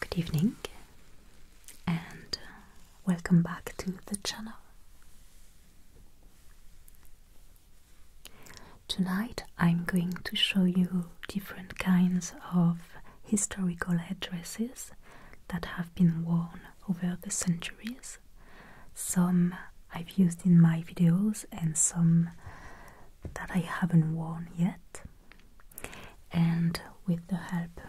Good evening and uh, welcome back to the channel. Tonight I'm going to show you different kinds of historical headdresses that have been worn over the centuries some I've used in my videos and some that I haven't worn yet. And with the help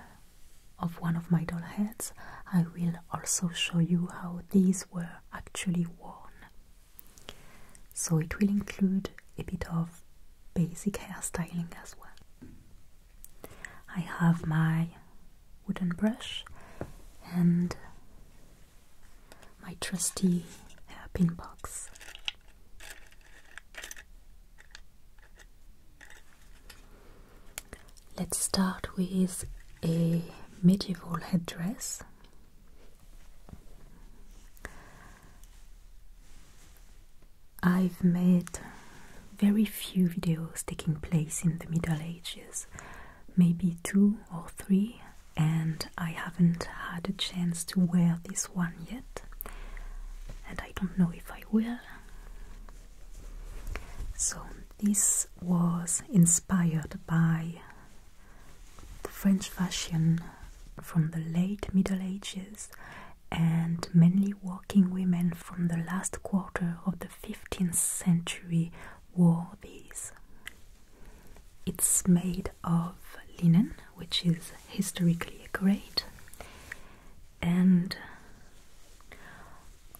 of one of my doll heads, I will also show you how these were actually worn. So it will include a bit of basic hairstyling as well. I have my wooden brush and my trusty hairpin box. Let's start with a medieval headdress. I've made very few videos taking place in the Middle Ages maybe two or three, and I haven't had a chance to wear this one yet, and I don't know if I will. So, this was inspired by the French fashion from the late Middle Ages and mainly working women from the last quarter of the 15th century wore these it's made of linen, which is historically great. and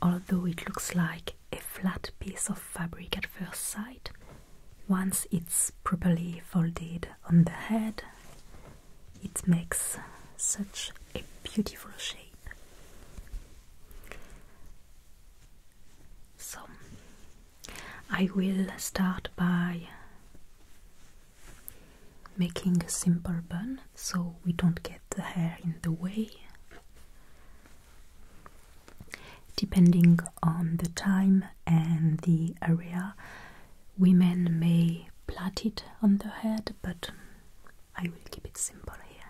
although it looks like a flat piece of fabric at first sight, once it's properly folded on the head, it makes such a beautiful shape. So I will start by making a simple bun so we don't get the hair in the way. Depending on the time and the area, women may plait it on the head, but I will keep it simple here.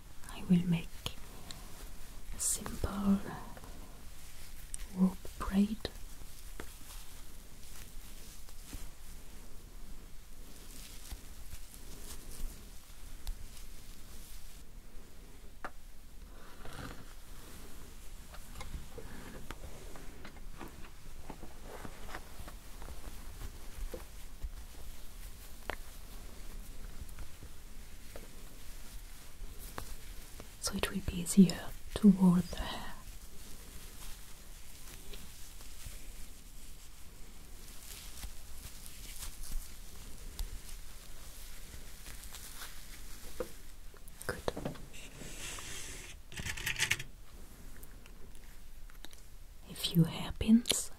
I will make a simple rope braid so it will be easier to roll the hair. Good. A few hairpins.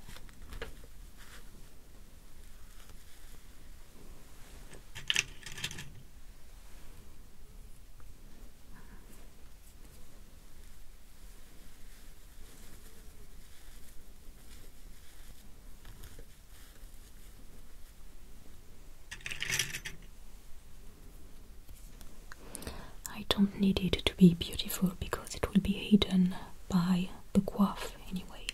I don't need it to be beautiful because it will be hidden by the quaff anyway.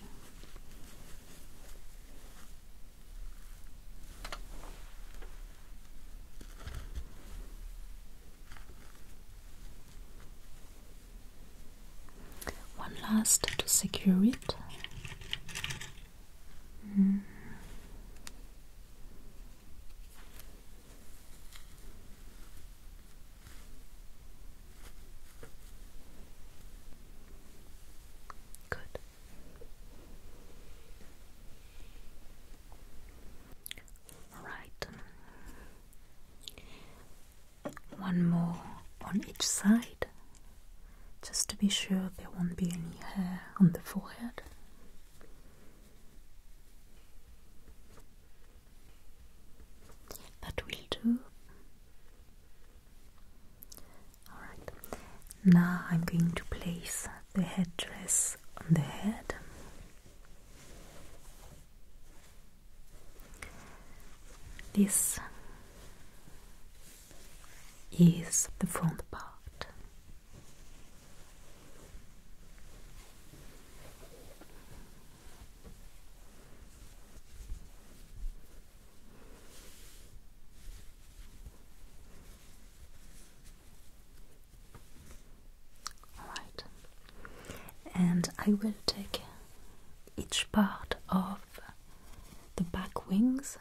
One last to secure it. Good. All right. One more on each side, just to be sure there won't be any hair on the forehead. That will do. Alright, now I'm going to place the headdress on the head. This is the front part. Alright, and I will take each part of the back wings,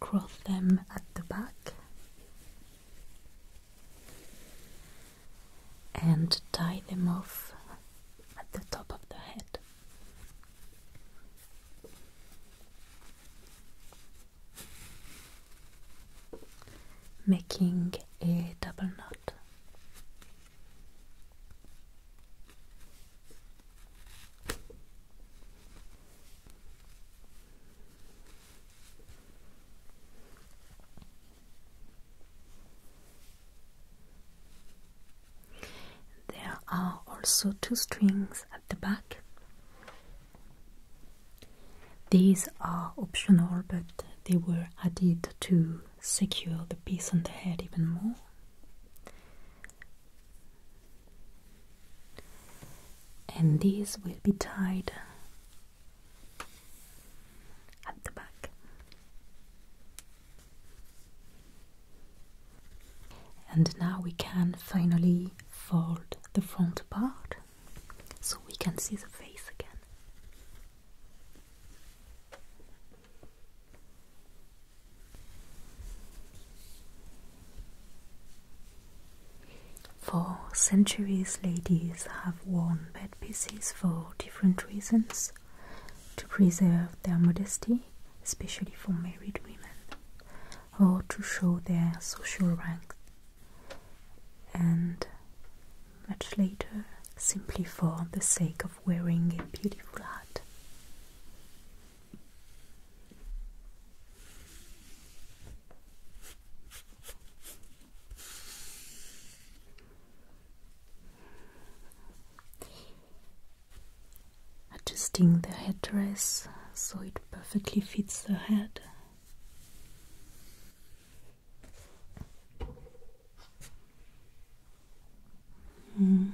cross them at the back and tie them off at the top of the head. Making a double knot. There are also two strings at the back. These are optional, but they were added to secure the piece on the head even more. And these will be tied at the back. And now we can finally fold the front part so we can see the face again. For centuries, ladies have worn bed pieces for different reasons to preserve their modesty, especially for married women, or to show their social rank, and much later, simply for the sake of wearing a beautiful hat. Adjusting the headdress so it perfectly fits the head. Mm.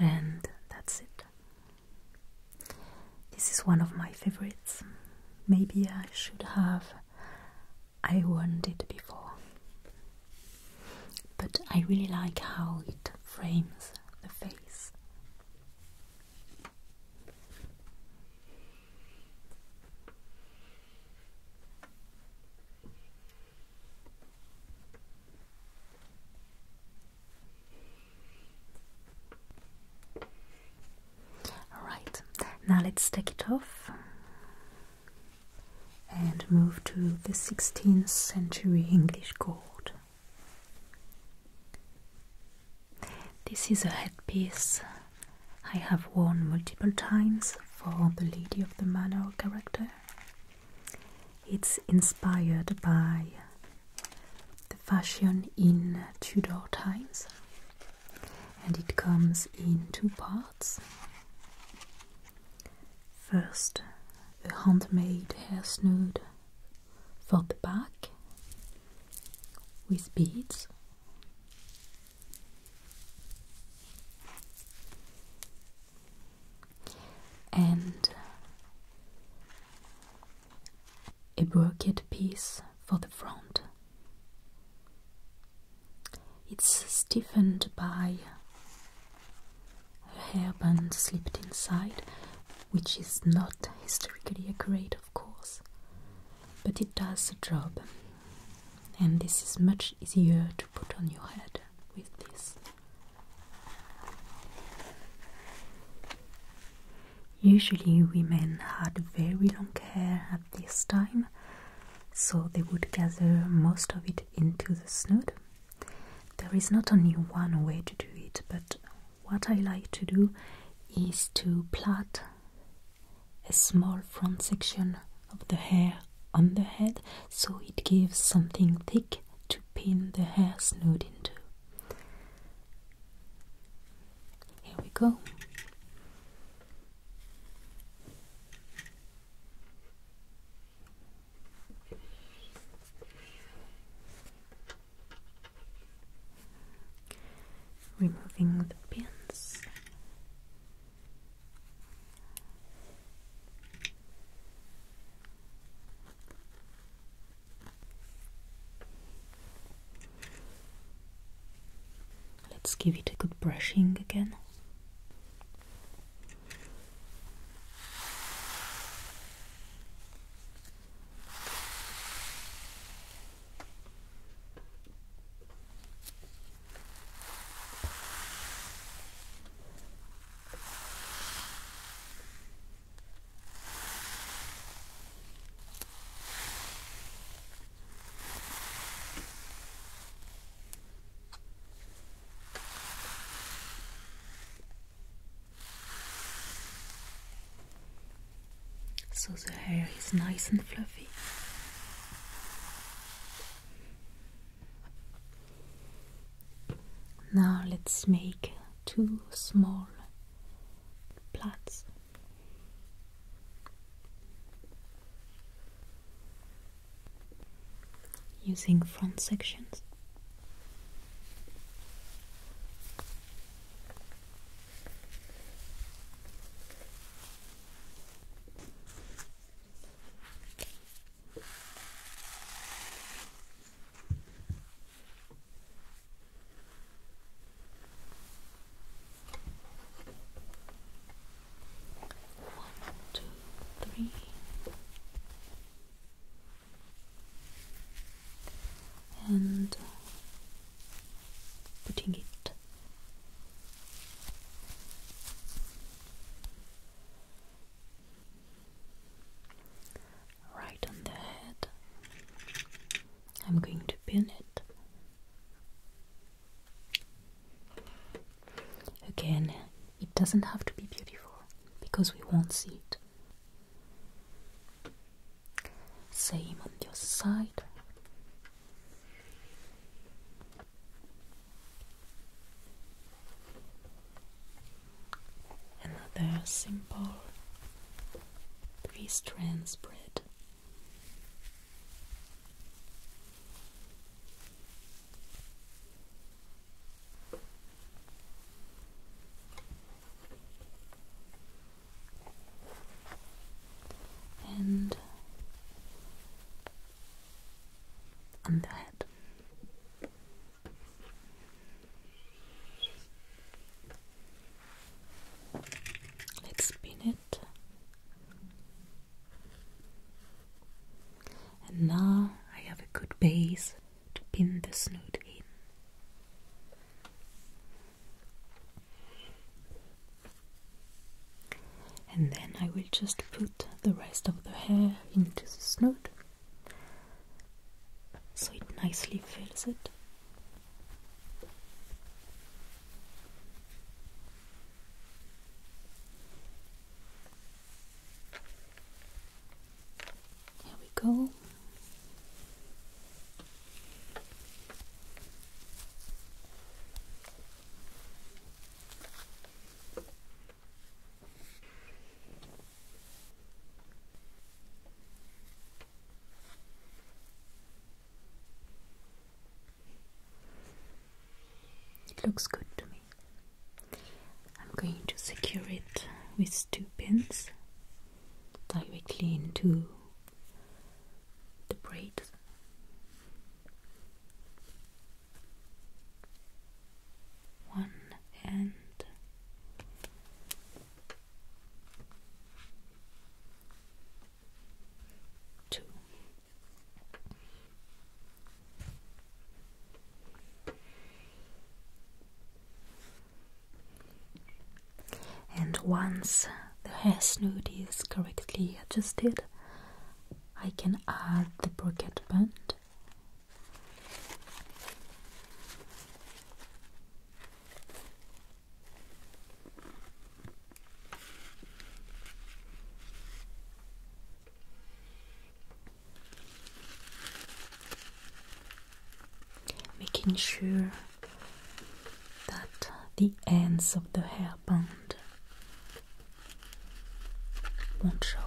And that's it. This is one of my favorites. Maybe I should have I worn it before. But I really like how it frames the face. Alright, now let's take it off and move to the 16th century English court. This is a headpiece I have worn multiple times for the Lady of the Manor character. It's inspired by the fashion in Tudor times and it comes in two parts. First, a handmade hair snood for the back with beads. And a brocade piece for the front. It's stiffened by a hairband slipped inside, which is not historically accurate, of course, but it does the job, and this is much easier to put on your head with this. Usually, women had very long hair at this time, so they would gather most of it into the snood. There is not only one way to do it, but what I like to do is to plait a small front section of the hair on the head so it gives something thick to pin the hair snood into. Here we go. Removing the pins. Let's give it a good brushing again. So the hair is nice and fluffy. Now let's make two small plats. Using front sections. One, two, three. And uh, putting it right on the head. I'm going to pin it. Again, it doesn't have to be beautiful because we won't see it. Same on the other side. Another simple three strand spread. And on the head. Let's spin it. And now I have a good base to pin the snood in. And then I will just put the rest of the hair into the snood so it nicely fills it. Here we go. It looks good to me. I'm going to secure it with two pins directly into the braid one hand. Two. And once the hair snood is correctly adjusted, I can add the brocade band Making sure that the ends of the hairband won't show.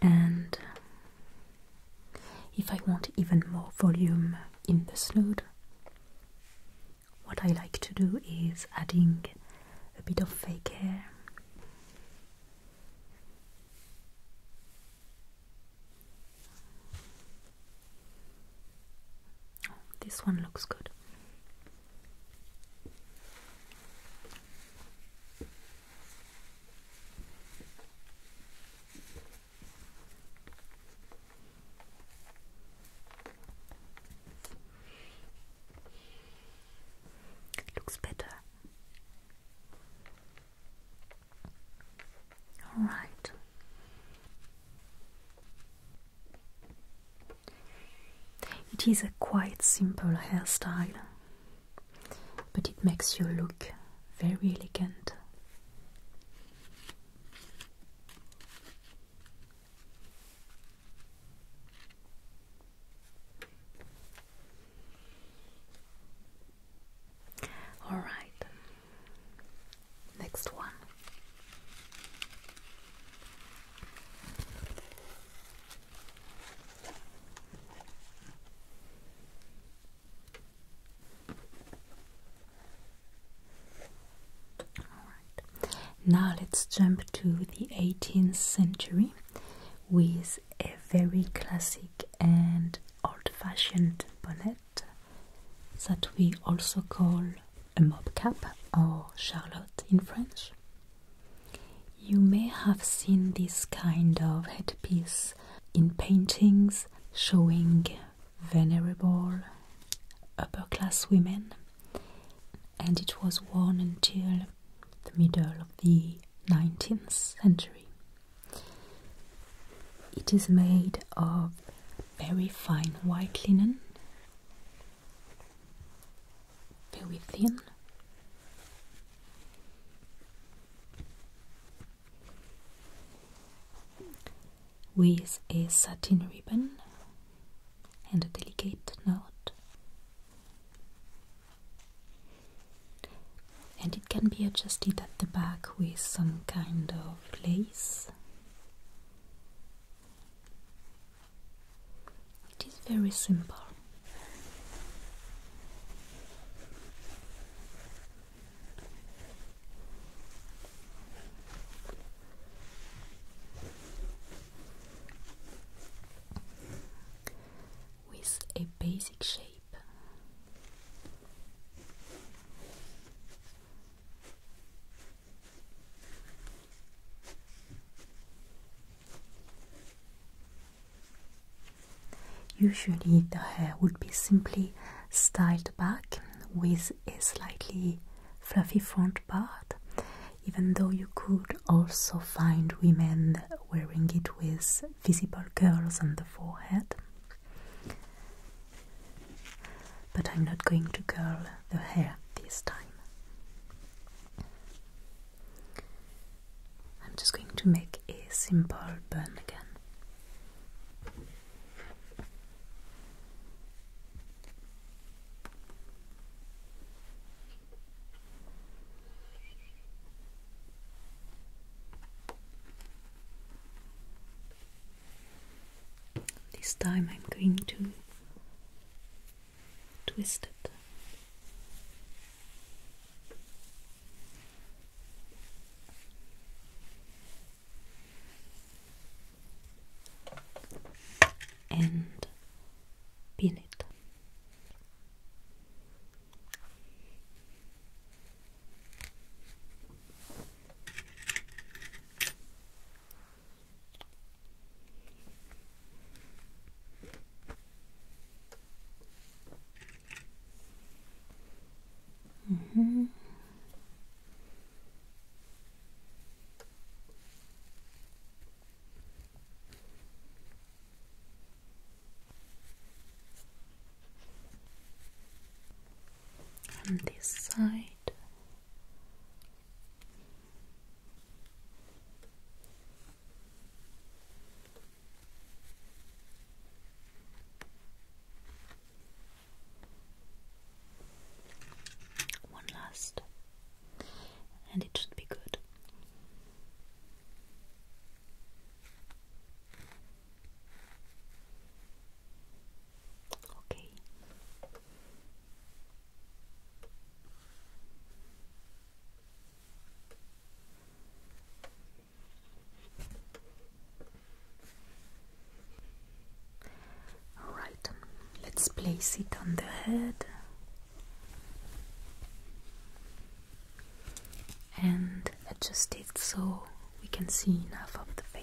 And if I want even more volume in the slot, what I like to do is adding a bit of fake hair. This one looks good. Looks better. All right. It is a quite simple hairstyle but it makes you look very elegant. All right, next one now let's jump to the 18th century with a very classic and old fashioned bonnet that we also call a mob cap or charlotte in French. You may have seen this kind of headpiece in paintings showing venerable upper class women, and it was worn until the middle of the 19th century. It is made of very fine white linen very thin, With a satin ribbon and a delicate knot, and it can be adjusted at the back with some kind of lace. It is very simple. With a basic shape. Usually the hair would be simply styled back with a slightly fluffy front part, even though you could also find women wearing it with visible curls on the forehead. But I'm not going to curl the hair this time. I'm just going to make a simple burn again. This time I'm going to twisted. And pin it. Mm -hmm. On this side, one last, and it should be good. Okay, all right, let's place it on the head and adjust it so we can see enough of the face.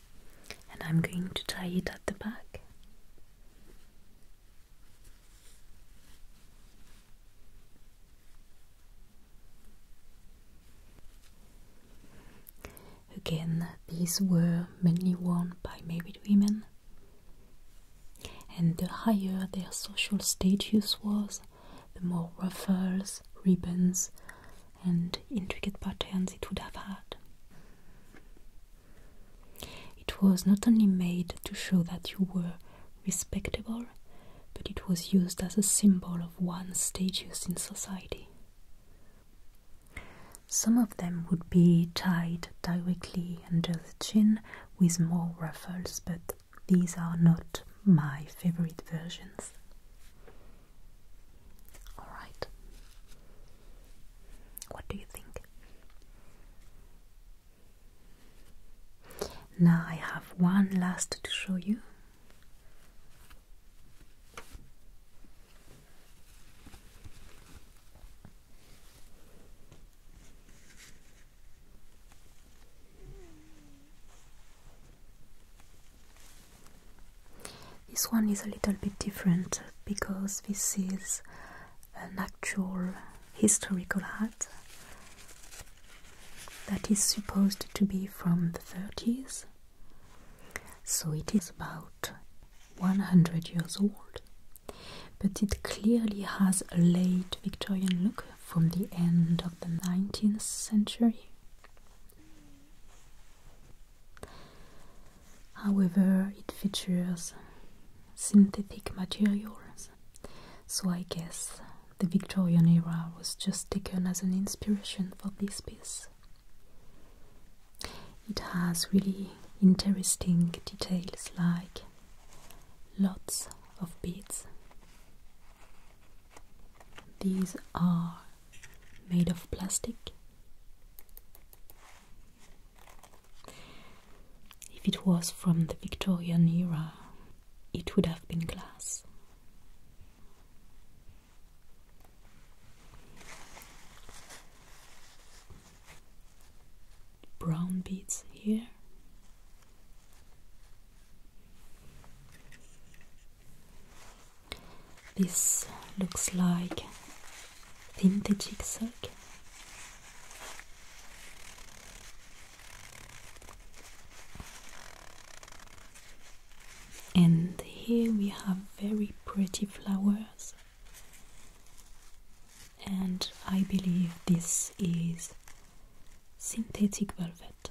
and I'm going to tie it at the back. Again, these were mainly worn by married women, and the higher their social status was, the more ruffles, ribbons, and intricate patterns it would have had. It was not only made to show that you were respectable, but it was used as a symbol of one's status in society. Some of them would be tied directly under the chin with more ruffles, but these are not my favorite versions. Alright. What do you think? Now I have one last to show you. This one is a little bit different because this is an actual historical hat that is supposed to be from the 30s. So it is about 100 years old, but it clearly has a late Victorian look from the end of the 19th century. However, it features synthetic materials, so I guess the Victorian era was just taken as an inspiration for this piece. It has really interesting details like lots of beads. These are made of plastic. If it was from the Victorian era, it would have been glass. Brown beads here. This looks like vintage zigzag. And here we have very pretty flowers. And I believe this is synthetic velvet.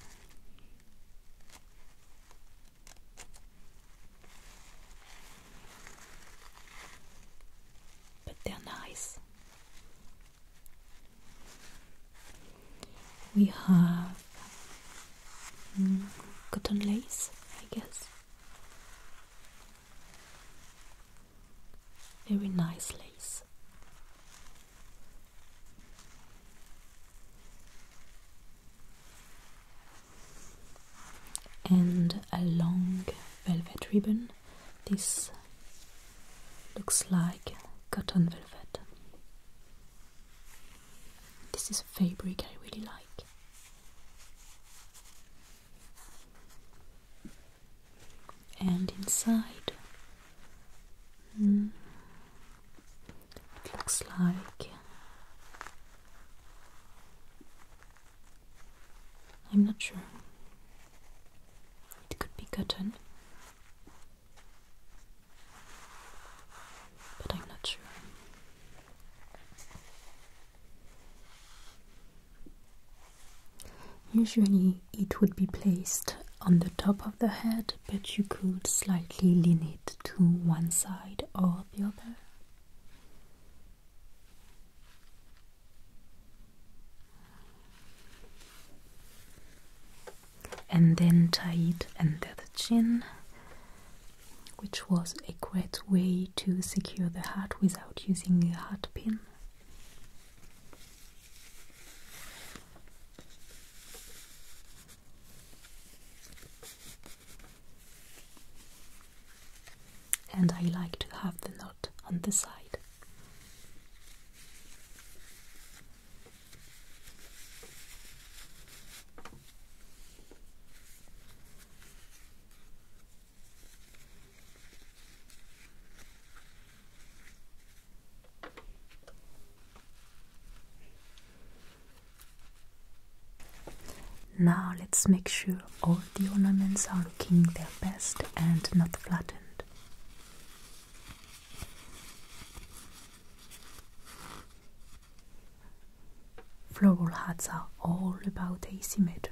But they're nice. We have mm, cotton lace, I guess. Very nice lace and a long velvet ribbon. This looks like cotton velvet. This is a fabric I really like. And inside, hmm, it looks like I'm not sure. It could be cotton, but I'm not sure. Usually, it would be placed on the top of the head but you could slightly lean it to one side or the other. And then tie it under the chin, which was a great way to secure the hat without using a hat pin. And I like to have the knot on the side. Now let's make sure all the ornaments are looking their best and not flattened. Floral hats are all about asymmetry.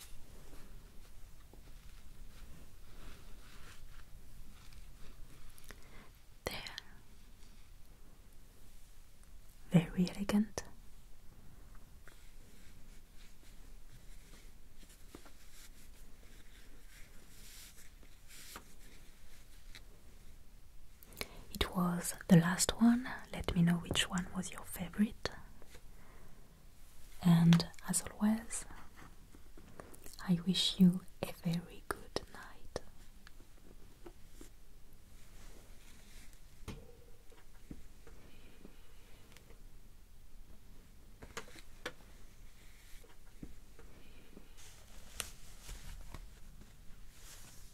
There. Very elegant. It was the last one. Let me know which one was your favorite. And as always, I wish you a very good night.